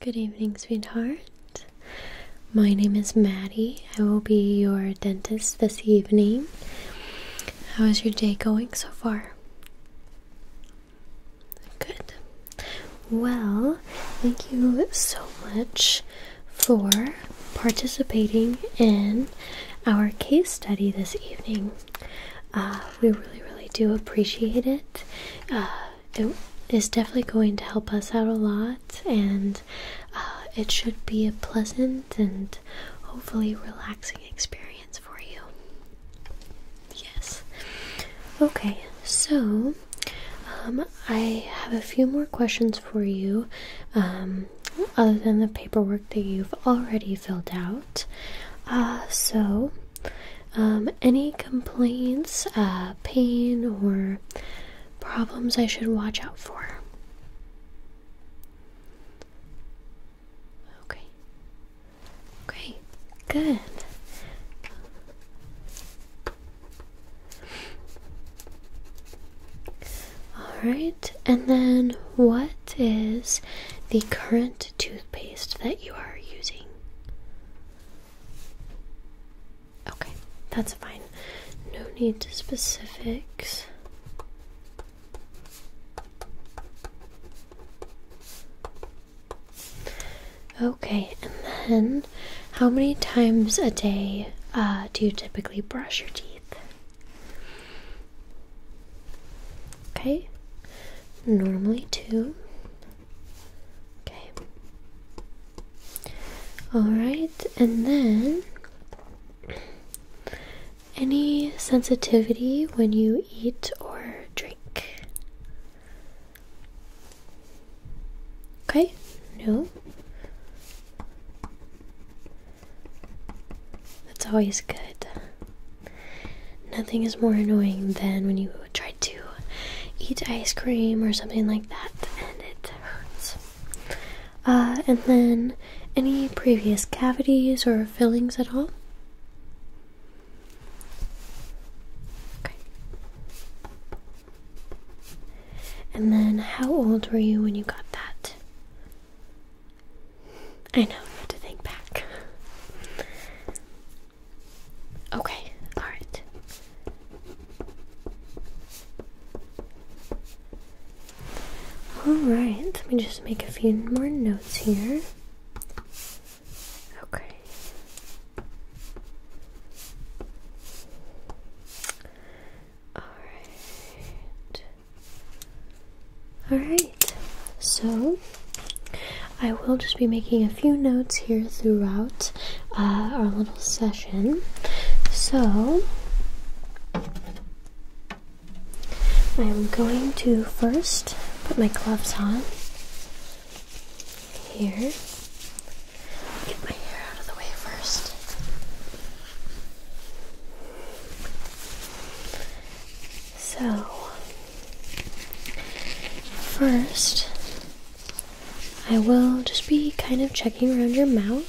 Good evening, sweetheart. My name is Maddie. I will be your dentist this evening. How is your day going so far? Good. Well, thank you so much for participating in our case study this evening. Uh, we really, really do appreciate it. Uh, it is definitely going to help us out a lot, and uh, it should be a pleasant and hopefully relaxing experience for you. Yes. Okay, so um, I have a few more questions for you, um, other than the paperwork that you've already filled out. Uh, so, um, any complaints, uh, pain, or problems I should watch out for? Okay. Okay, good. Alright, and then what is the current toothpaste that you are using? Okay, that's fine. No need to specifics. Okay, and then how many times a day uh, do you typically brush your teeth? Okay, normally two. Okay. Alright, and then any sensitivity when you eat or drink? Okay, no. That's always good. Nothing is more annoying than when you try to eat ice cream or something like that and it hurts. Uh, and then, any previous cavities or fillings at all? Okay. And then, how old were you when you got that? I know, you have to think back. Okay, alright. Alright, let me just make a few more notes here. Okay. Alright. Alright, so I will just be making a few notes here throughout uh, our little session. So, I am going to first put my gloves on here. Get my hair out of the way first. So, First, I will just be kind of checking around your mouth.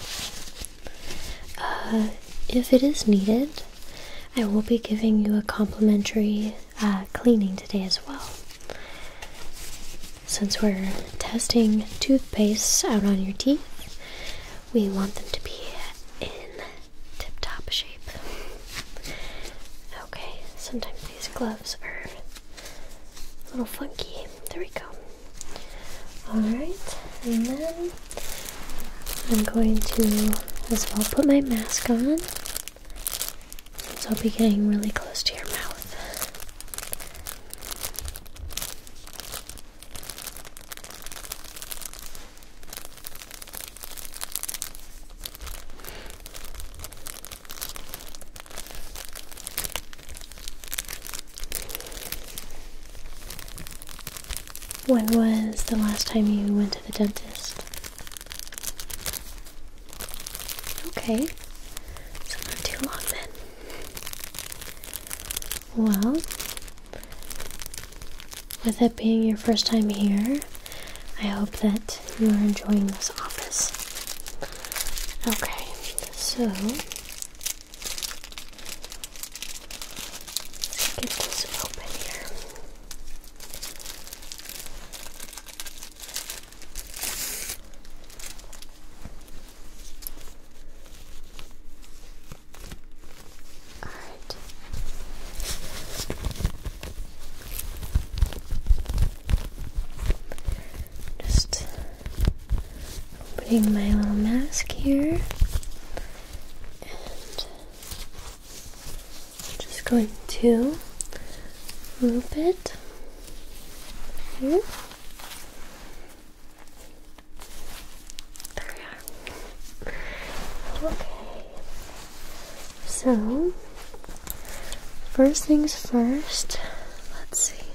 Uh, if it is needed, I will be giving you a complimentary uh, cleaning today as well. Since we're testing toothpaste out on your teeth, we want them to be in tip top shape. Okay, sometimes these gloves are a little funky. There we go. Alright, and then I'm going to as well put my mask on. So I'll be getting really close to your mouth. When was the last time you went to the dentist? Okay, so not too long then. Well, with it being your first time here, I hope that you are enjoying this office. Okay, so let's get this open here. All right. Just putting my little mask here and just going to move it There we are. Okay. So, first things first, let's see.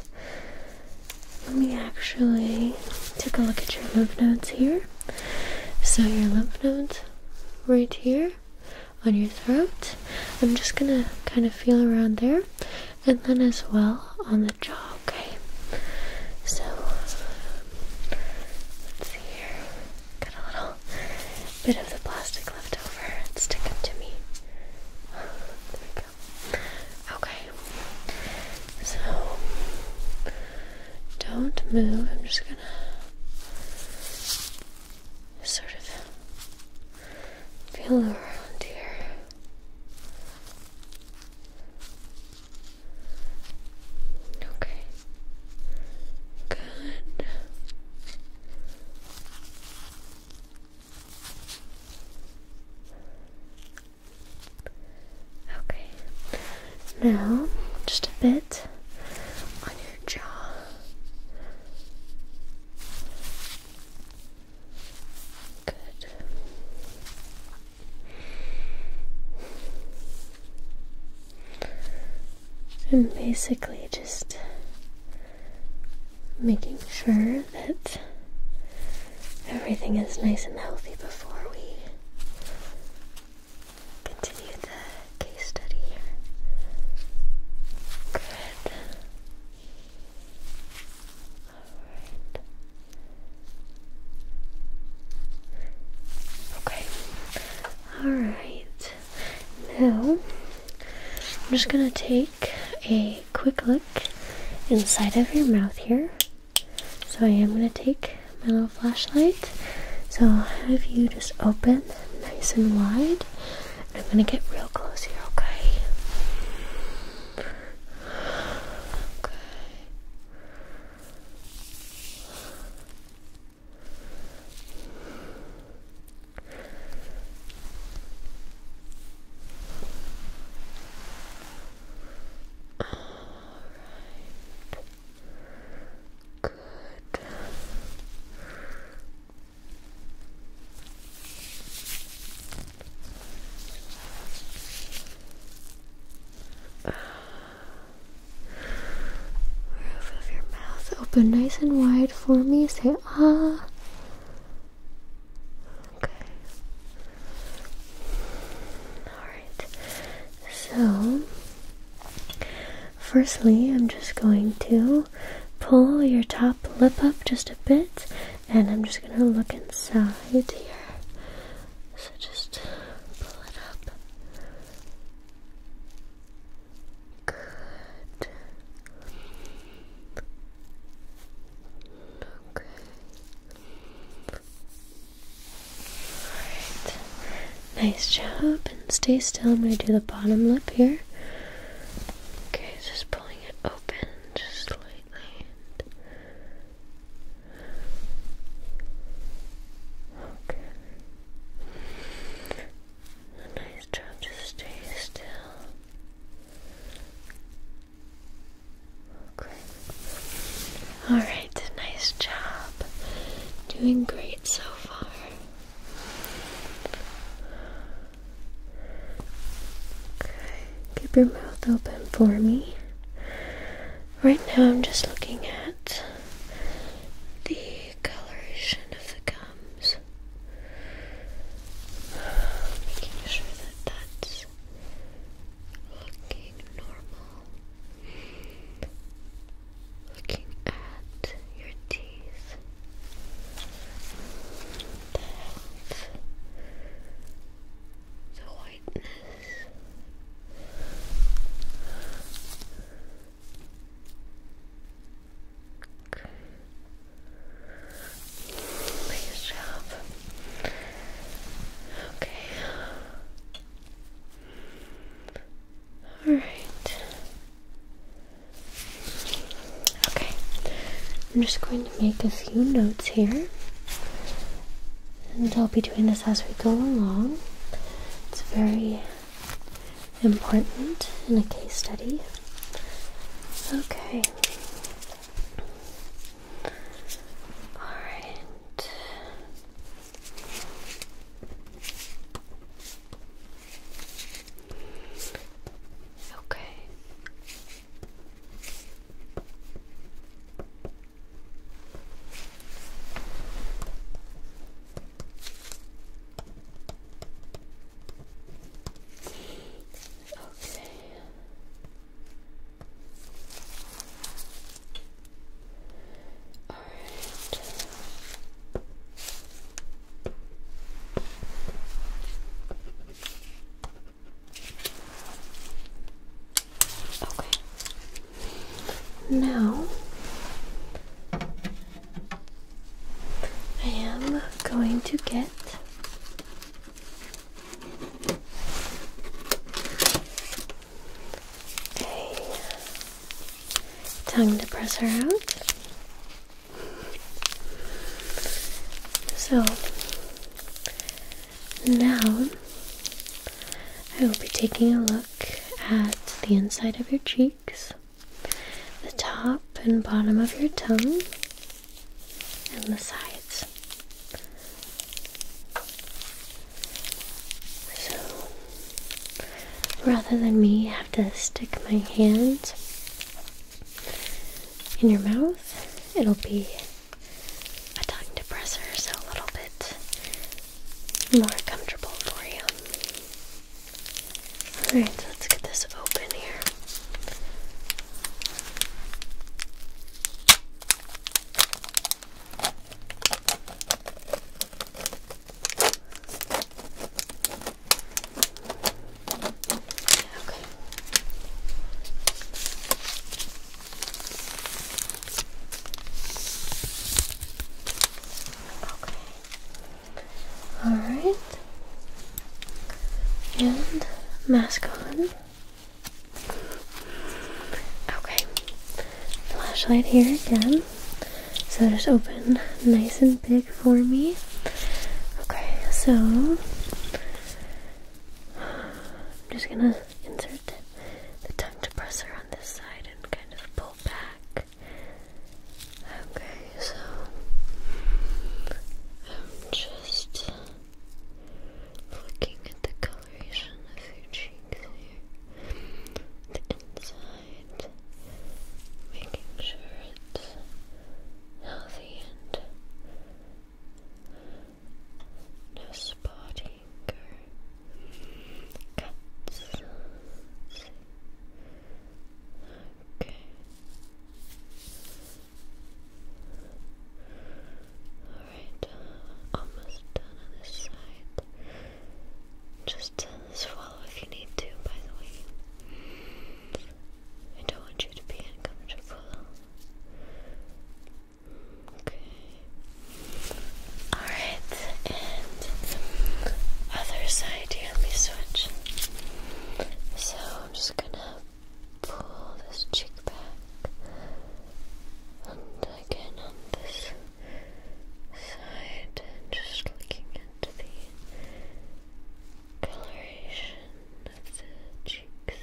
Let me actually take a look at your lymph nodes here. So, your lymph nodes right here on your throat. I'm just gonna kind of feel around there and then as well on the jaw, okay? So, let's see here. Got a little bit of the plastic left over. It's sticking to me. There we go. Okay. So don't move. I'm just gonna sort of feel around here. Okay. Good. Okay, now just a bit on your jaw. Good. I'm basically just making sure that everything is nice and healthy before we continue the case study here. Good. Alright. Okay. Alright. Now, I'm just going to take a quick look inside of your mouth here. So I am going to take my little flashlight. So I'll have you just open nice and wide. I'm going to get real close here, okay? Okay. All right. Good roof of your mouth. Open nice and wide for me. Say ah. Okay. Alright. So, firstly, I'm just going to pull your top lip up just a bit and I'm just going to look inside here. So just pull it up. Good. Okay. Alright. Nice job. And stay still. I'm going to do the bottom lip here. Okay, just pulling it open just slightly. Okay. Nice job, just stay still. Okay. Alright, nice job. Doing great so far. Okay, keep your mouth open for me. Right now, I'm just looking at the coloration of the gum comes. Making sure that that's looking normal. Looking at your teeth, the health, the whiteness. Nice job. Okay. All right. Okay. I'm just going to make a few notes here. And I'll be doing this as we go along. It's very important in a case study. Okay. Alright. Okay. Okay. All right. Okay. Now I am going to get a tongue depressor out. So now I will be taking a look at the inside of your cheek the top and bottom of your tongue, and the sides. So, rather than me have to stick my hands in your mouth, it'll be a tongue depressor, so a little bit more comfortable for you. Alright, let's get this open here. Okay. Okay. Alright. And mask on. Okay. Flashlight here again. So just open nice and big for me. Okay, so I'm just gonna insert the tongue depressor on this side and kind of pull back. Okay, so I'm just looking at the coloration of your cheeks here, the inside, making sure it's healthy and no spotting or cuts. Okay. Alright, uh, almost done on this side. Just uh, swallow if you need to, by the way. I don't want you to be uncomfortable. Okay. Alright, and other side here. Let me switch. So I'm just gonna pull this cheek back, and again on this side, and just looking into the coloration of the cheeks.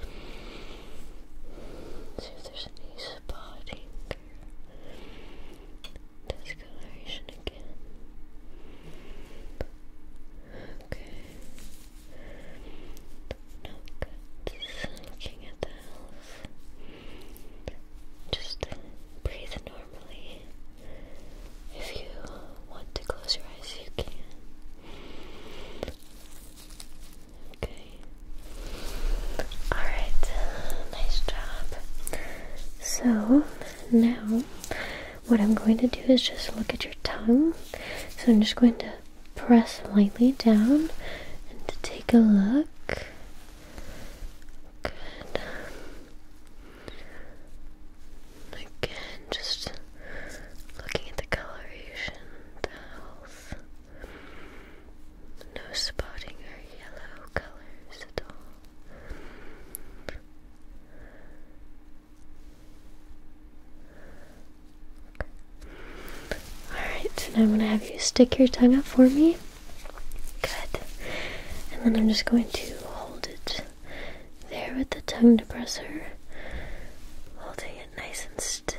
And see if there's any spotting discoloration again. Okay. No cuts. Looking at the health. Just breathe normally. If you want to close your eyes, you can. Okay. Alright, nice job. So now what I'm going to do is just look at your tongue. So I'm just going to press lightly down and to take a look. Again, just looking at the coloration, the health. No spotting or yellow colors at all. Alright, now I'm going to have you stick your tongue up for me. Good. And then I'm just going to hold it there with the tongue depressor, holding it nice and still.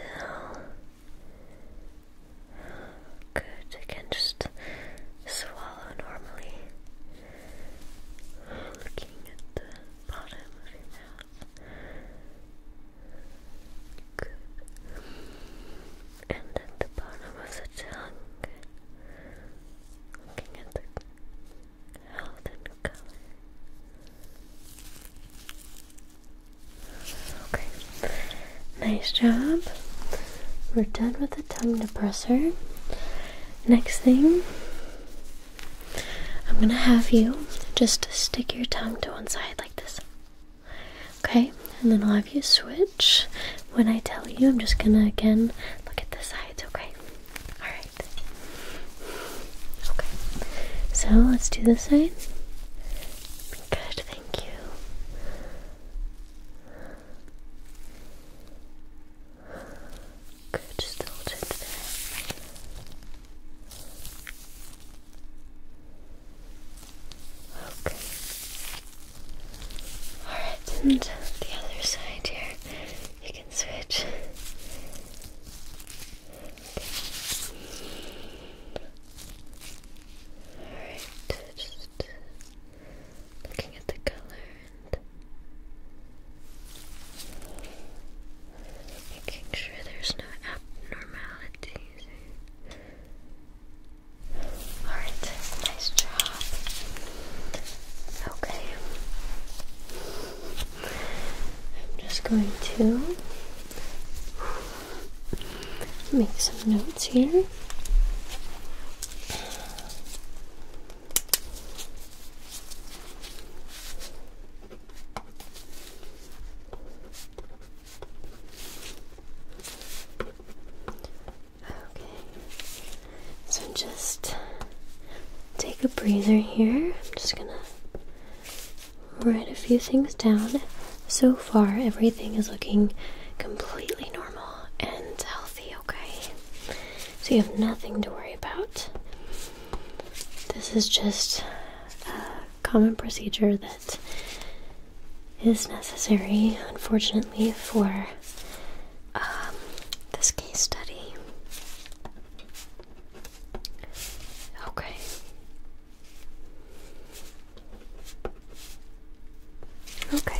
Good, I can just swallow normally. Looking at the bottom of your mouth. Good. And at the bottom of the tongue. Looking at the health and color. Okay. Nice job. We're done with the tongue depressor. Next thing, I'm gonna have you just stick your tongue to one side like this. Okay, and then I'll have you switch. When I tell you, I'm just gonna again look at the sides, okay? Alright. Okay, so let's do this side. Good, thank you. Good, just hold it there. Okay. Alright, and the other side here, you can switch. Alright, just looking at the color and making sure there's no abnormalities. Alright, nice job. Okay. I'm just going to make some notes here. Okay, so just take a breather here. I'm just gonna write a few things down. So far, everything is looking completely normal and healthy, okay? So you have nothing to worry about. This is just a common procedure that is necessary, unfortunately, for um, this case study. Okay. Okay.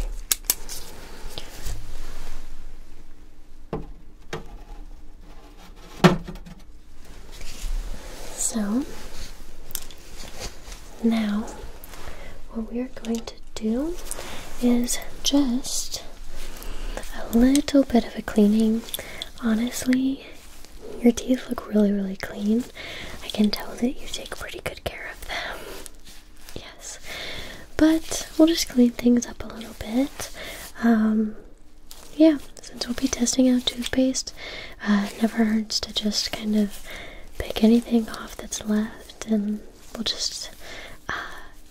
So now what we are going to do is just a little bit of a cleaning. Honestly, your teeth look really, really clean. I can tell that you take pretty good care of them. Yes, but we'll just clean things up a little bit. Um, yeah, since we'll be testing out toothpaste, uh, never hurts to just kind of pick anything off that's left, and we'll just uh,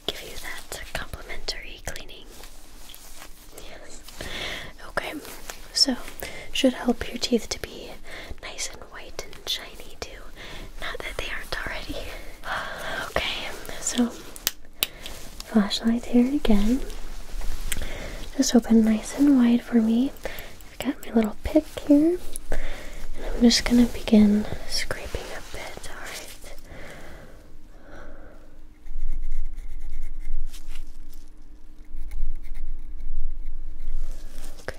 give you that complimentary cleaning. Yes. Okay, so should help your teeth to be nice and white and shiny too. Not that they aren't already. okay, so flashlight here again. Just open nice and wide for me. I've got my little pick here. And I'm just gonna begin scraping a bit, alright. Okay.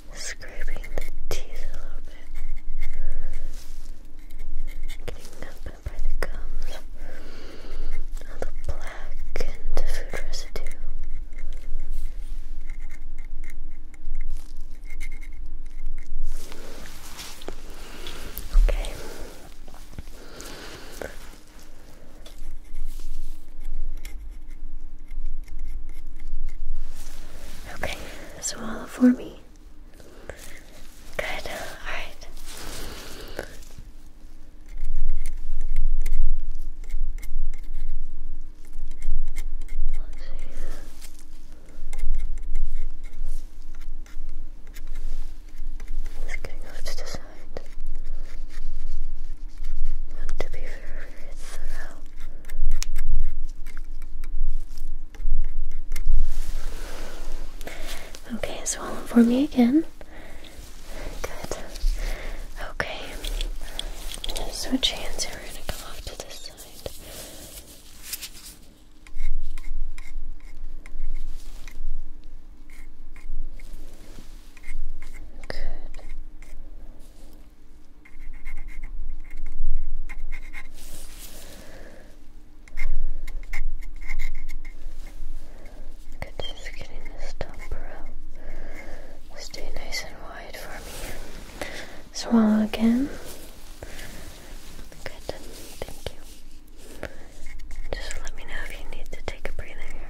Scraping the teeth a little bit. Getting up by the gums. All the black and food residue. Okay. Okay, all for me. Good, alright. Just getting off to the side. Not to be Okay, swallow for me again. Good. Okay. I'm gonna switch hands here. are gonna come off to this side. Good. Good, just getting this dumper out. Stay nice and wide for me. Swallow again. Good, thank you. Just let me know if you need to take a breather here.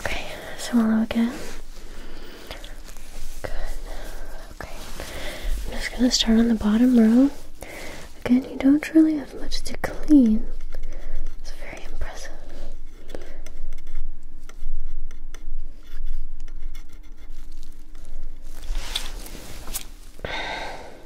Okay, swallow again. Good. Okay. I'm just gonna start on the bottom row. Again, you don't really have much to clean. It's very impressive.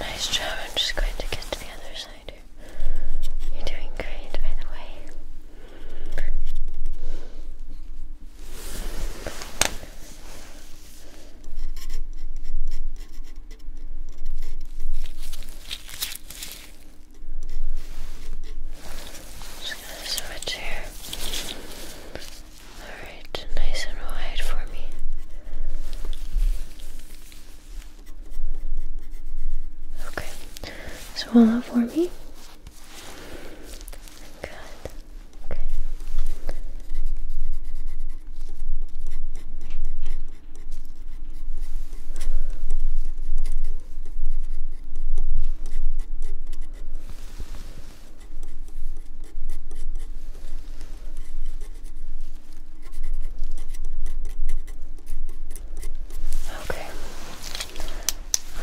Nice job. I'm just going to get to the other side here. You're doing great, by the way. Just going here. Alright, nice and wide for me. Okay, swallow for me. Good. Okay. Okay.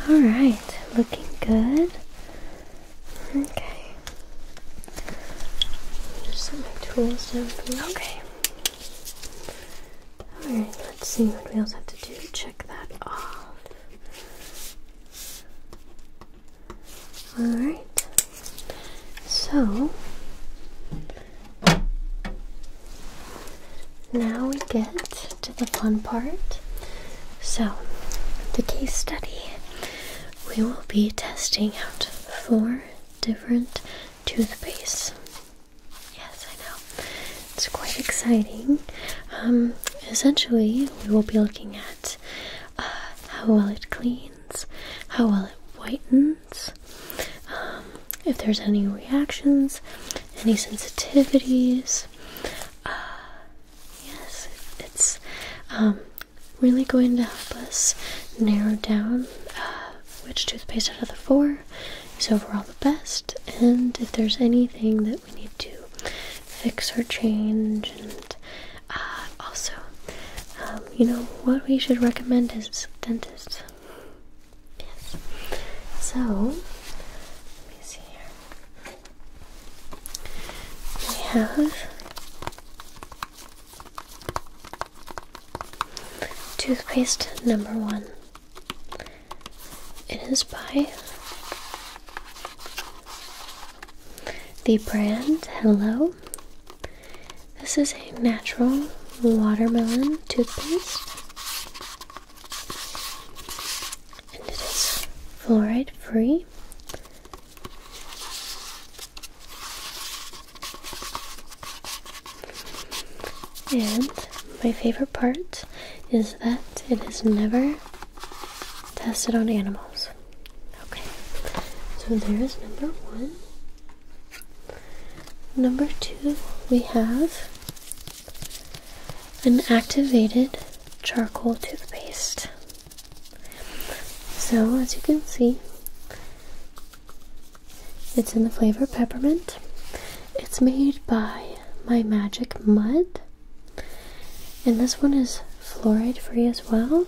All right, looking good. Okay. Just set my tools down for you. Okay. All right, let's see what we also have to do check that off. Alright, so now we get to the fun part. So, the case study we will be testing out four different toothpastes. Yes, I know. It's quite exciting. Um, essentially, we will be looking at uh, how well it cleans, how well it whitens, um, if there's any reactions, any sensitivities. Uh, yes, it's um, really going to help us narrow down uh, which toothpaste out of the four is overall the best, and if there's anything that we need to fix or change, and uh, also, um, you know, what we should recommend is dentists. Yes. So, let me see here. We have toothpaste number one. It is by the brand, hello. This is a natural watermelon toothpaste. And it is fluoride free. And my favorite part is that it is never tested on animals. Okay, so there's number one. Number two, we have an activated charcoal toothpaste. So, as you can see, it's in the flavor peppermint. It's made by My Magic Mud. And this one is fluoride free as well.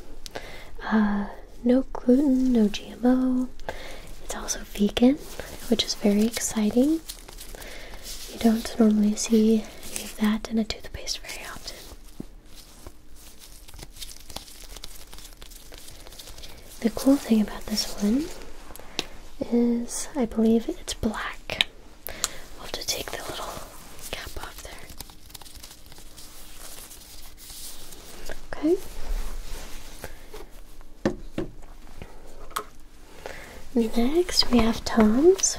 Uh, no gluten, no GMO. It's also vegan, which is very exciting. You don't normally see that in a toothpaste very often. The cool thing about this one is I believe it's black we will have to take the little cap off there. Okay. Next, we have Tom's.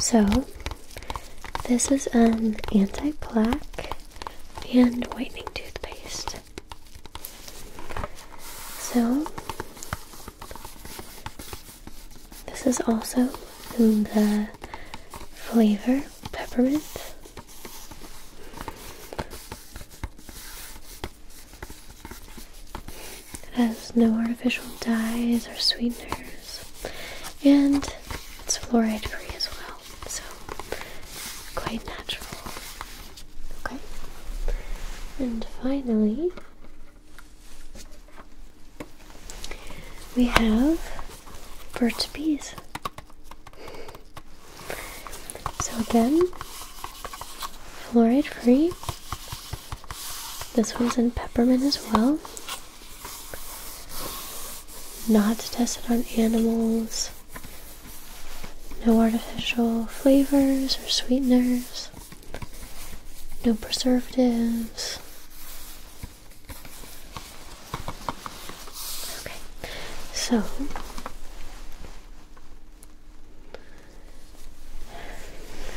So, this is an anti plaque and whitening toothpaste. So, this is also in the flavor peppermint. It has no artificial dyes or sweeteners, and it's fluoride free as well, so quite natural. Okay. And finally, we have Burt's Bees. So again, fluoride free. This one's in peppermint as well. Not tested on animals. No artificial flavors or sweeteners, no preservatives. Okay, so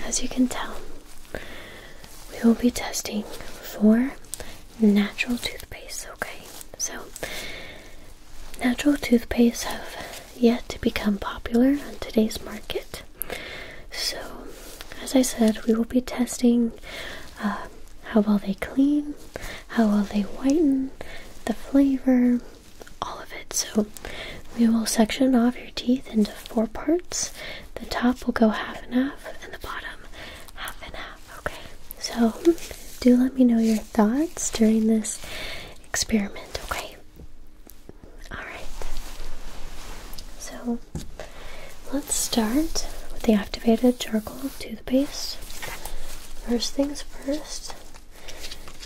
as you can tell, we will be testing for natural toothpastes. okay? So, natural toothpastes have yet to become popular on today's market. So, as I said, we will be testing uh, how well they clean, how well they whiten, the flavor, all of it. So, we will section off your teeth into four parts. The top will go half and half, and the bottom half and half. Okay, so do let me know your thoughts during this experiment, okay? Alright, so let's start with the activated charcoal toothpaste. First things first,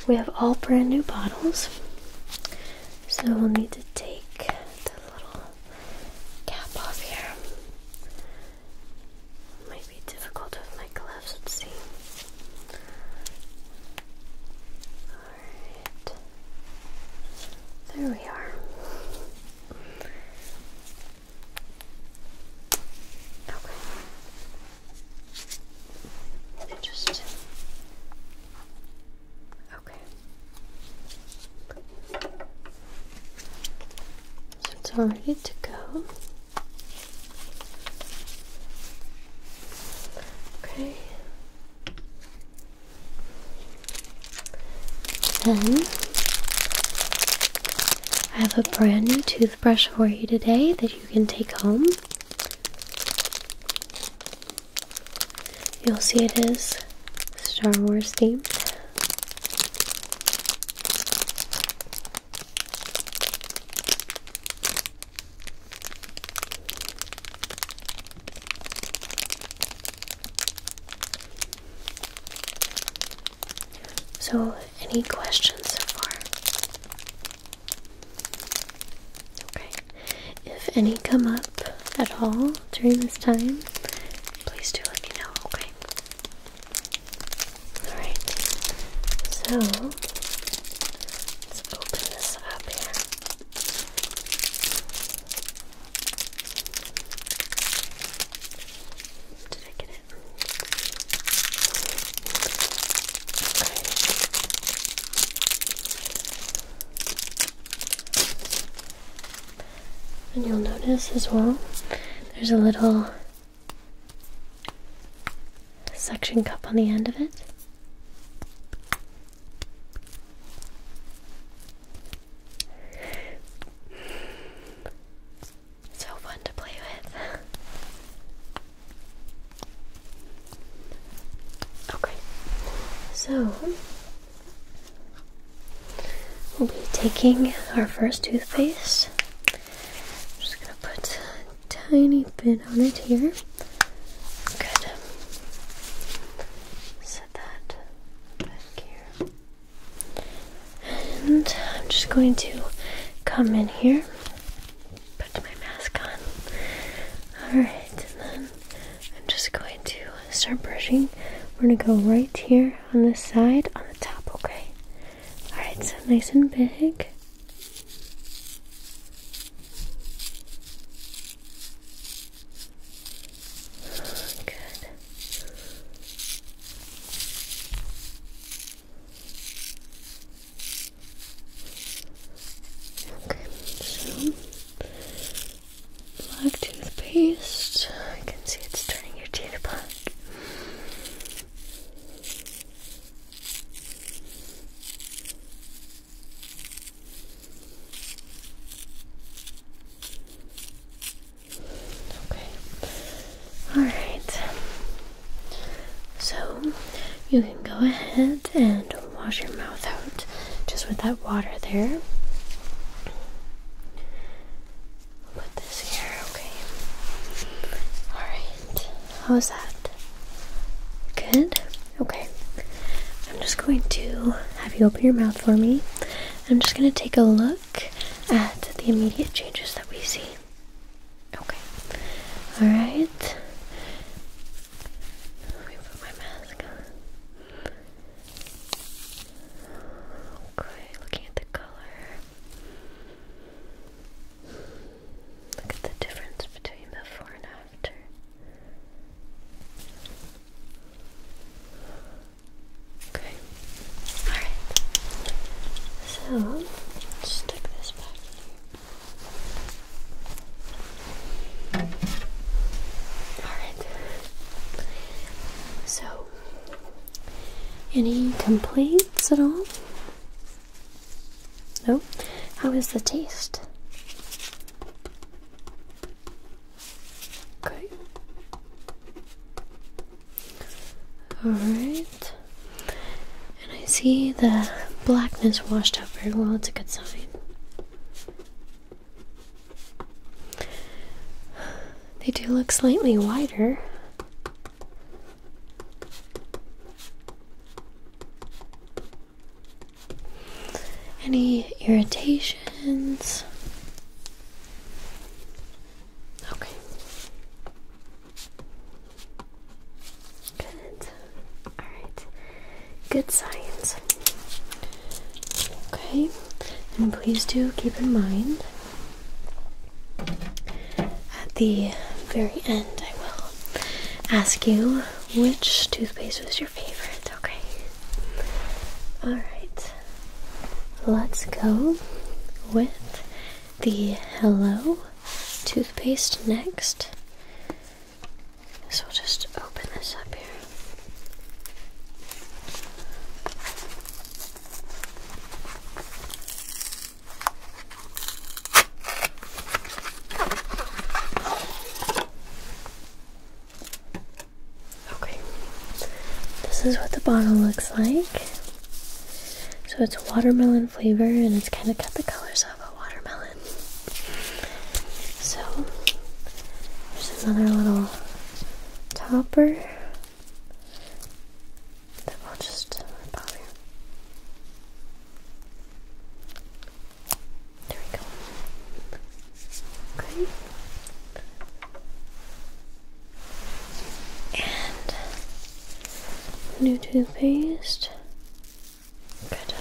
we have all brand new bottles, so we'll need to take the little cap off here. Might be difficult with my gloves let's see. Alright. There we are. Okay. Interesting. Okay. So it's all ready to go. Okay. Then I have a brand new toothbrush for you today that you can take home. You'll see it is Star Wars themed. So, any questions so far? Okay. If any come up at all during this time, please do let me know, okay? Alright. So, Let's open this up here. Did I get it? And you'll notice as well, there's a little suction cup on the end of it. So fun to play with. okay, so we'll be taking our first toothpaste I'm just gonna put a tiny bit on it here. Good. Set that back here. And I'm just going to come in here, put my mask on. Alright, and then I'm just going to start brushing. We're gonna go right here on the side, on the top, okay? Alright, so nice and big. Good. Okay, so black toothpaste. I can see it's turning your teeth black. Okay. All right. So you can go ahead and wash your mouth out just with that water there. Put this here, okay. All right. How's that? Good? Okay. I'm just going to have you open your mouth for me. I'm just going to take a look at the immediate changes that we see. Okay. Alright. Let me put my mask Okay, looking at the color. Look at the difference between before and after. Okay. Alright. So, stick this back here. Alright. So, any complaints at all? Oh, how is the taste? Okay. Alright. And I see the blackness washed out very well. It's a good sign. They do look slightly wider. Any irritations? Okay. Good. All right. Good science. Okay. And please do keep in mind at the very end I will ask you which toothpaste was your favorite, okay? Alright, let's go with the Hello toothpaste next. So we'll just open this up here. Okay, this is what the bottle looks like. So it's watermelon flavor and it's kind of got the colors of a watermelon. So there's another little topper that will just rip here. There we go. Okay. And new toothpaste. Good.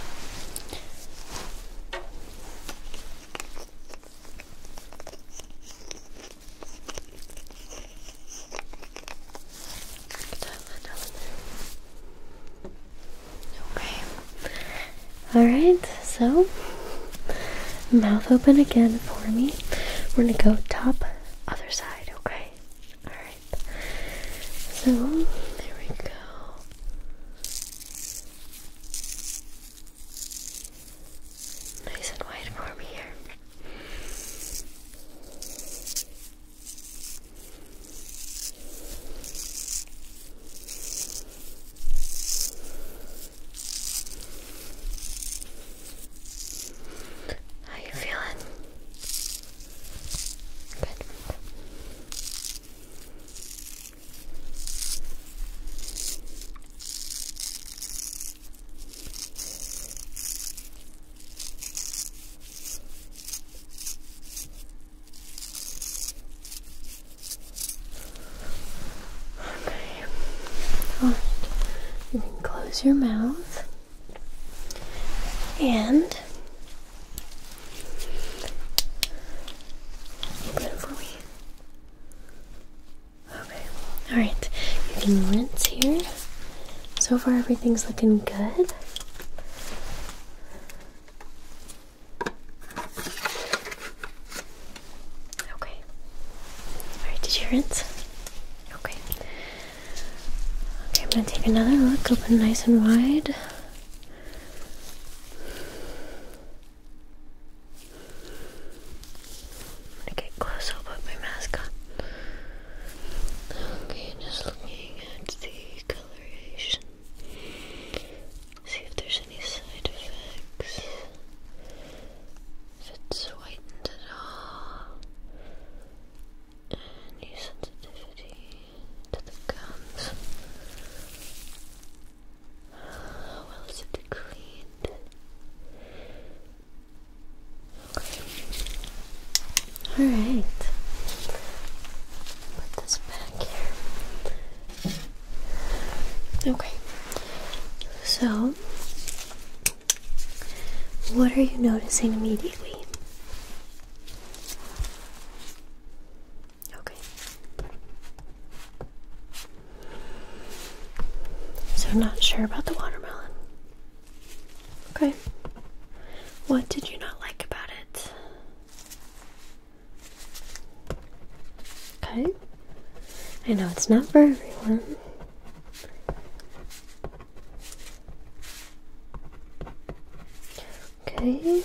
Okay. Alright, so mouth open again for me. We're gonna go top, other side, okay? Alright. So there we go. Nice and wide for me here. How you feeling? Good. Okay. Alright. You can close your mouth. And open it for me. Okay. Alright. You can rinse here. So far everything's looking good. Okay. Alright, did you rinse? Okay. Okay, I'm gonna take another look, open nice and wide. gonna get close, I'll put my mask on. Okay, just looking at the coloration. See if there's any side effects. If it's whitened at all. Any sensitivity to the gums. How well is it cleaned? All right. Put this back here. Okay. So, what are you noticing immediately? Okay. So, I'm not sure about the watermelon. Okay. What did you not like about it? Okay. I know it's not for everyone. Okay.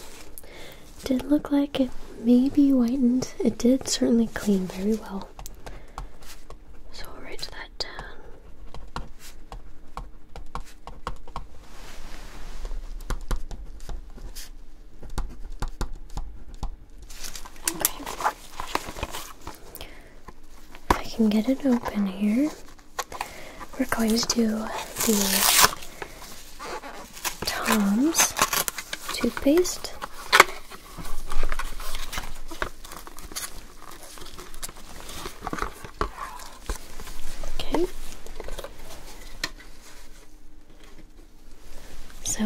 Did look like it maybe whitened. It did certainly clean very well. So I'll write that down. Okay. I can get it open here, we're going to do the Tom's toothpaste. Okay. So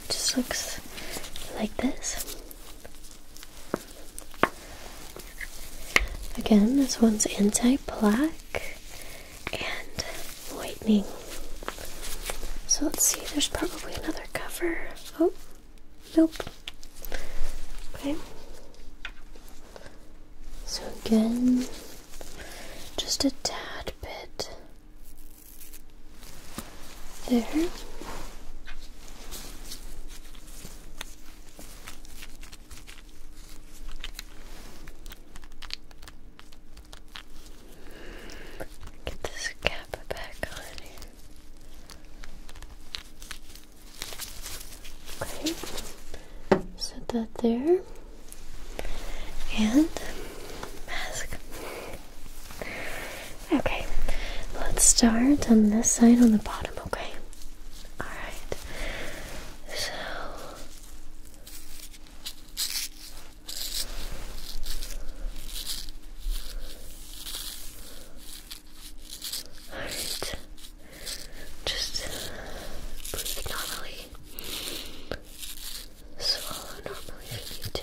it just looks like this. Again, this one's anti-plaque and whitening. So let's see, there's probably another cover. Oh, nope. Okay. So again, just a tad bit there. Get this cap back on here. Okay, set that there. And mask. Okay, let's start on this side on the bottom, okay? Alright. So Alright. Just breathe normally. Swallow normally if you need to.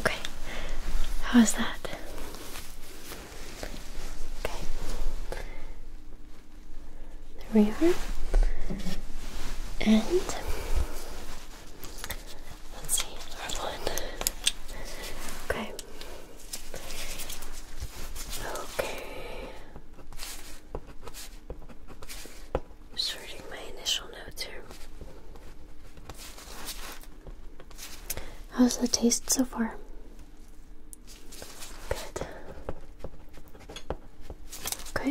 Okay. How's that? Okay. There we are. And let's see, hard one. Okay. Okay. Sorting my initial notes here. How's the taste so far? Good. Okay.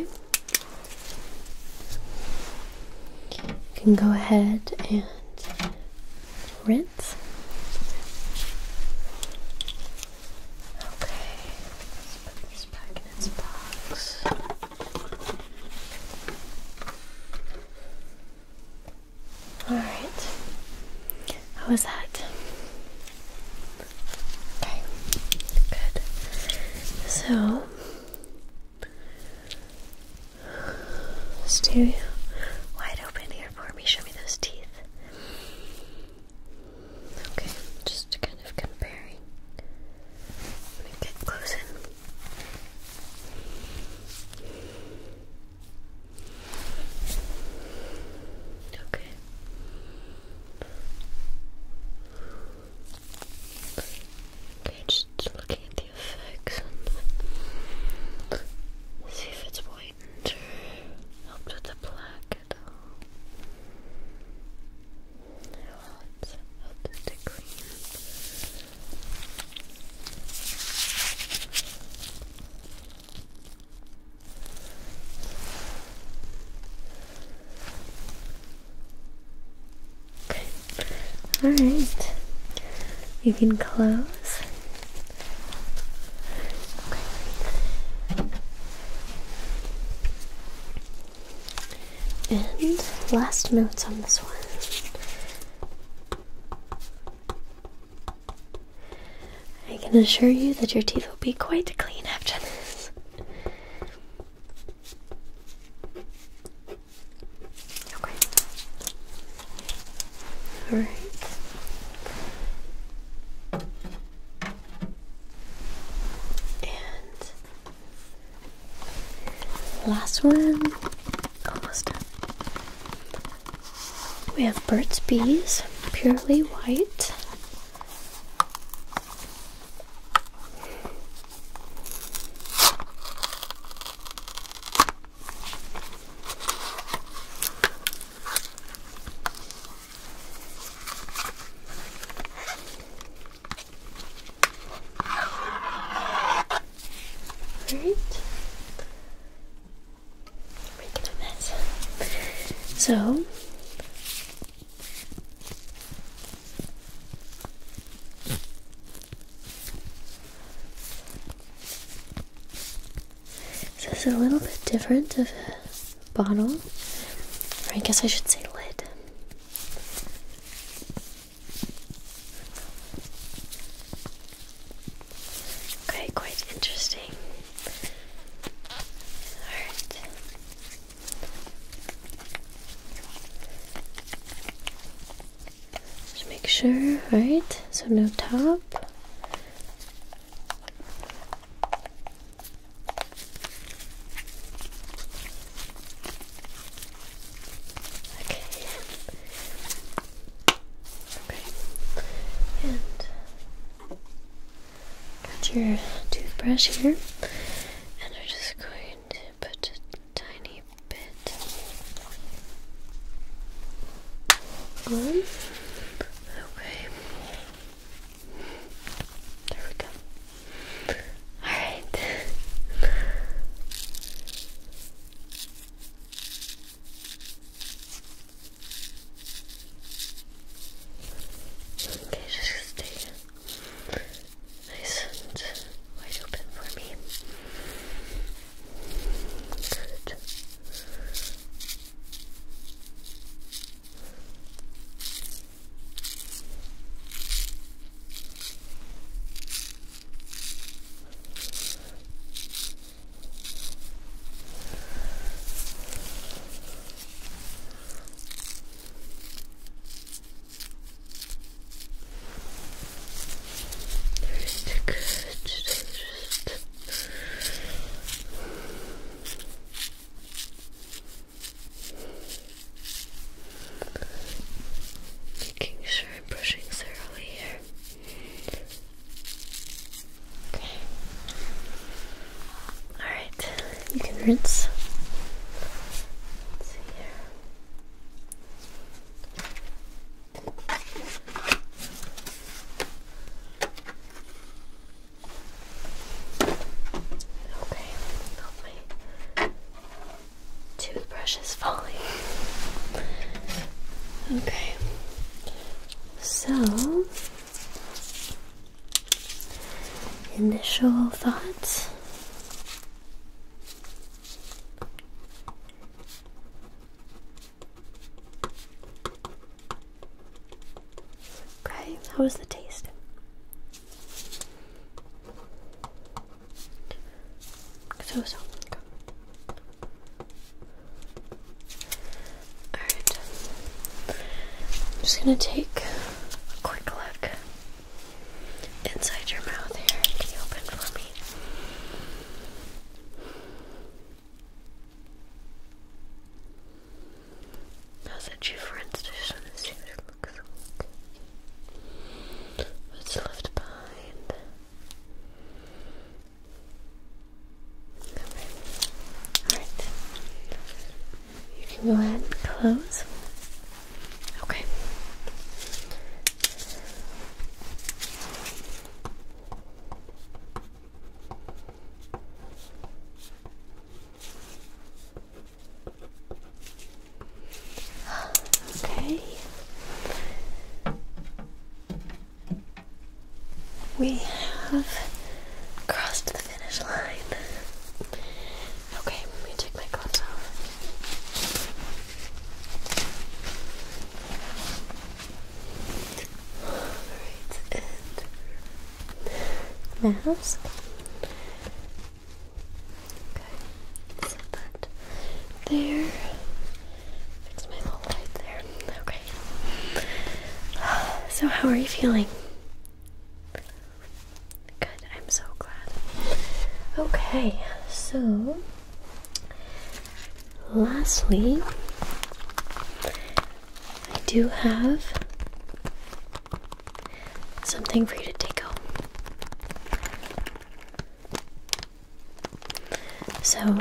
You can go ahead and rinse. Okay. put this back in its box. All right. How was that? Okay. Good. So stay wide open here for me. Show me those teeth. Okay, just kind of comparing. Let me get close in. Okay. Okay, just looking at the effects see if it's whitened or with the black at all. No, it's all right. You can close. And last notes on this one. I can assure you that your teeth will be quite clean after this. Okay. All right. And Last one, almost done. We have Burt's Bees, purely white. Alright. Making a mess. So so this is a little bit different of a bottle. Or I guess I should say lid. Okay, quite interesting. Alright. Just make sure, right? So no top. Okay. Okay. And got your toothbrush here, and I'm just going to put a tiny bit on. Okay. There we go. Alright. okay, just stay nice and wide open for me. Good. Good. Just, just. Making sure I'm brushing thoroughly here. Okay. Alright, you can rinse. Okay, toothbrush is falling. Okay. So, initial thoughts. Okay, how was the taste? So so. Alright. I'm just gonna take a quick look inside your mouth here. Can you open for me? How's that you friends? I just want to see what Excellent. What's left behind? Alright. You can go ahead and close. Okay. Okay. We have crossed the finish line. Okay, let me take my gloves off. Alright, mask. Okay, set that there. Fix my little light there. Okay. So, how are you feeling? Good, I'm so glad. Okay, so lastly, I do have something for you to take home. So,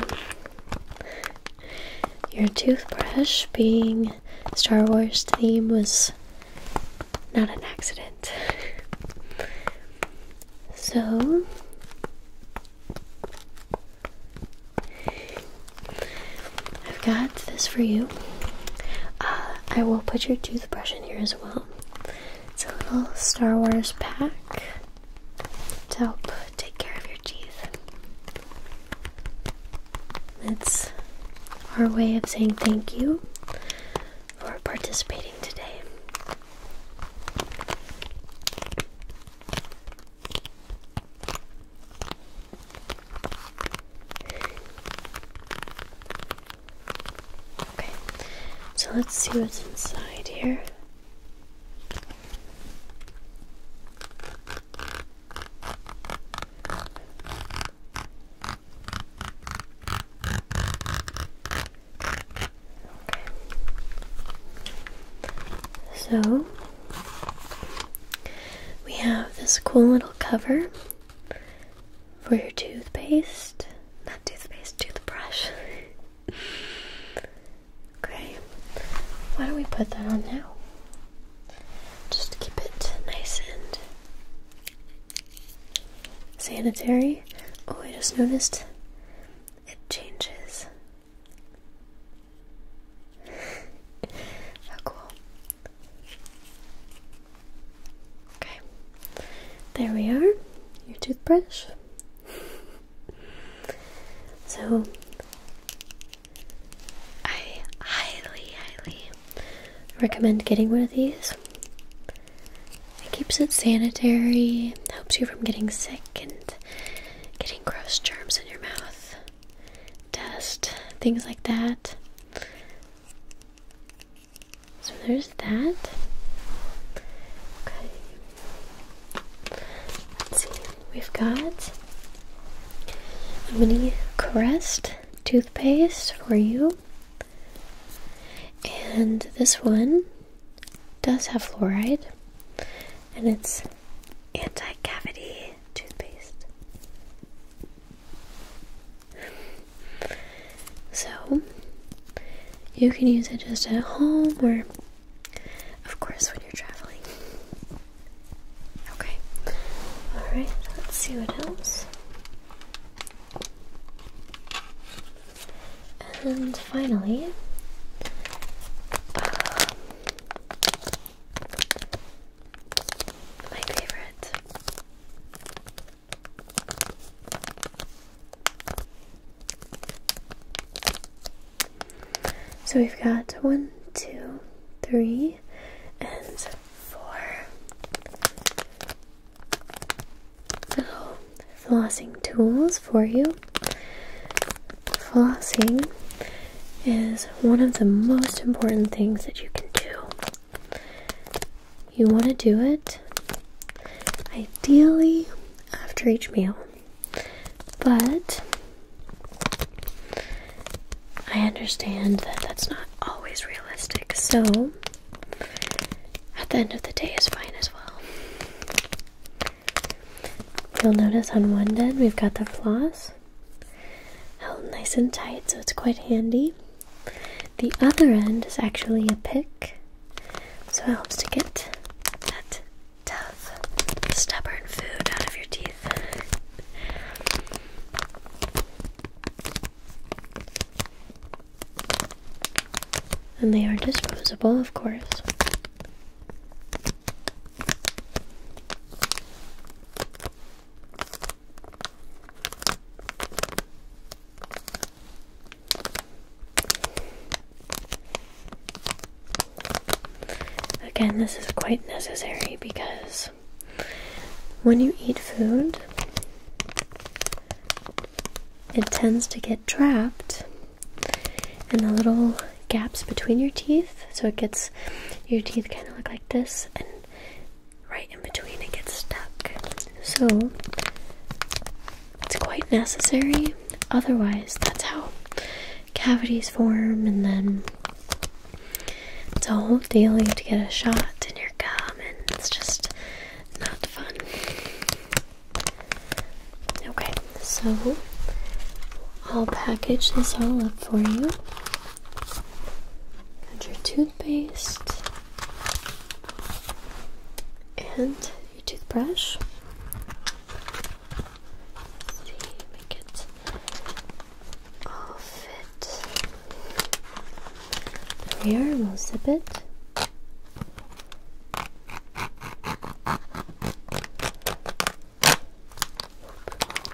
your toothbrush being Star Wars themed was not an accident. so, I've got this for you. Uh, I will put your toothbrush in here as well. It's a little Star Wars pack to help take care of your teeth. It's our way of saying thank you for participating today. Okay, so let's see what's inside here. Okay. So we have this cool little cover for your toothpaste. Not toothpaste, toothbrush. okay, why don't we put that on now? Just to keep it nice and sanitary. Oh, I just noticed it changes. How cool. Okay, there we are, your toothbrush. so, I highly, highly recommend getting one of these. It keeps it sanitary, helps you from getting sick and getting gross germs in your mouth, dust, things like that. So there's that. Okay. see. We've got a mini Crest toothpaste for you. And this one does have fluoride. And it's anti-cavity toothpaste. So, you can use it just at home or, of course, when you're traveling. Okay, alright, let's see what else. And finally, um, my favorite so we've got one, two, three, and four little flossing tools for you. Flossing is one of the most important things that you can do you want to do it ideally after each meal, but I understand that that's not always realistic, so at the end of the day is fine as well. You'll notice on one end we've got the floss held nice and tight, so it's quite handy. The other end is actually a pick, so it helps to get that tough, stubborn food out of your teeth. and they are disposable, of course. Again, this is quite necessary because when you eat food, it tends to get trapped in the little gaps between your teeth. So it gets your teeth kind of look like this, and right in between it gets stuck. So it's quite necessary. Otherwise, that's how cavities form, and then it's a whole deal. You have to get a shot in your gum, and it's just not fun. Okay, so I'll package this all up for you. Got your toothpaste and your toothbrush. let see, make it all fit. There we will zip it.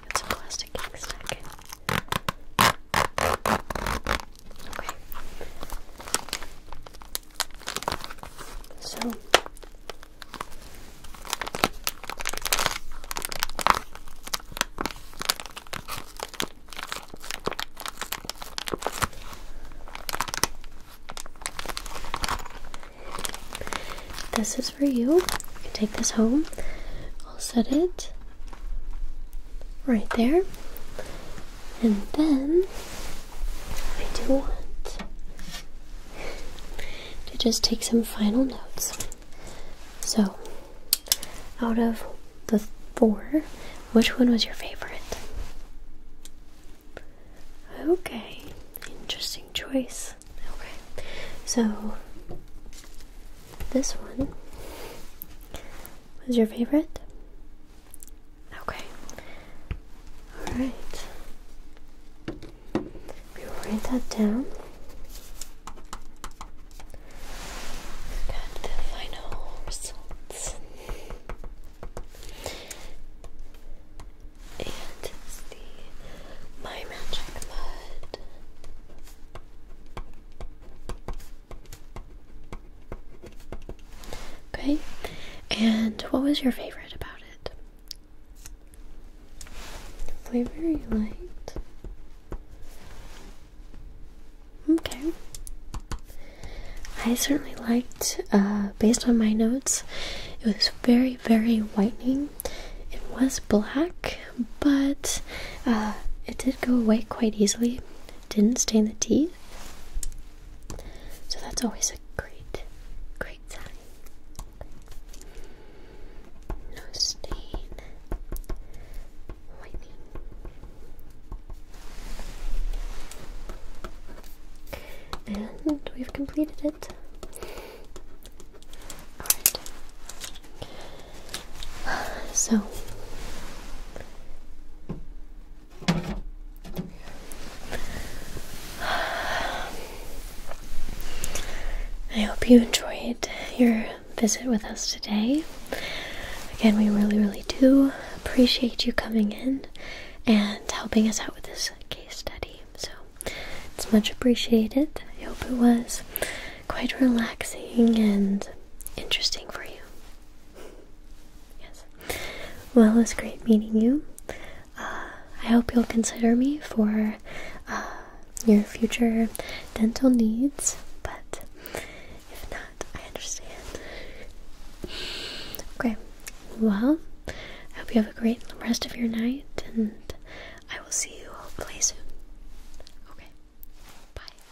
It's a plastic ink stack. So this is for you. You can take this home. I'll set it right there. And then I do want to just take some final notes. So, out of the four, which one was your favorite? Okay, interesting choice. Okay, so this one was your favorite? Okay. Alright. We write that down. Got the final results. And it's the My Magic Mud. Okay, and what was your favorite about it? flavor you liked? Okay. I certainly liked, uh, based on my notes, it was very, very whitening. It was black, but uh, it did go white quite easily. didn't stain the teeth. So that's always a great, great time. No stain, whitening. And we've completed it. So, I hope you enjoyed your visit with us today. Again, we really, really do appreciate you coming in and helping us out with this case study. So it's much appreciated. I hope it was quite relaxing and interesting for you. Yes. Well, it's great meeting you. Uh, I hope you'll consider me for uh, your future dental needs, but if not, I understand. Okay, well, I hope you have a great rest of your night, and I will see you hopefully soon. Okay, bye.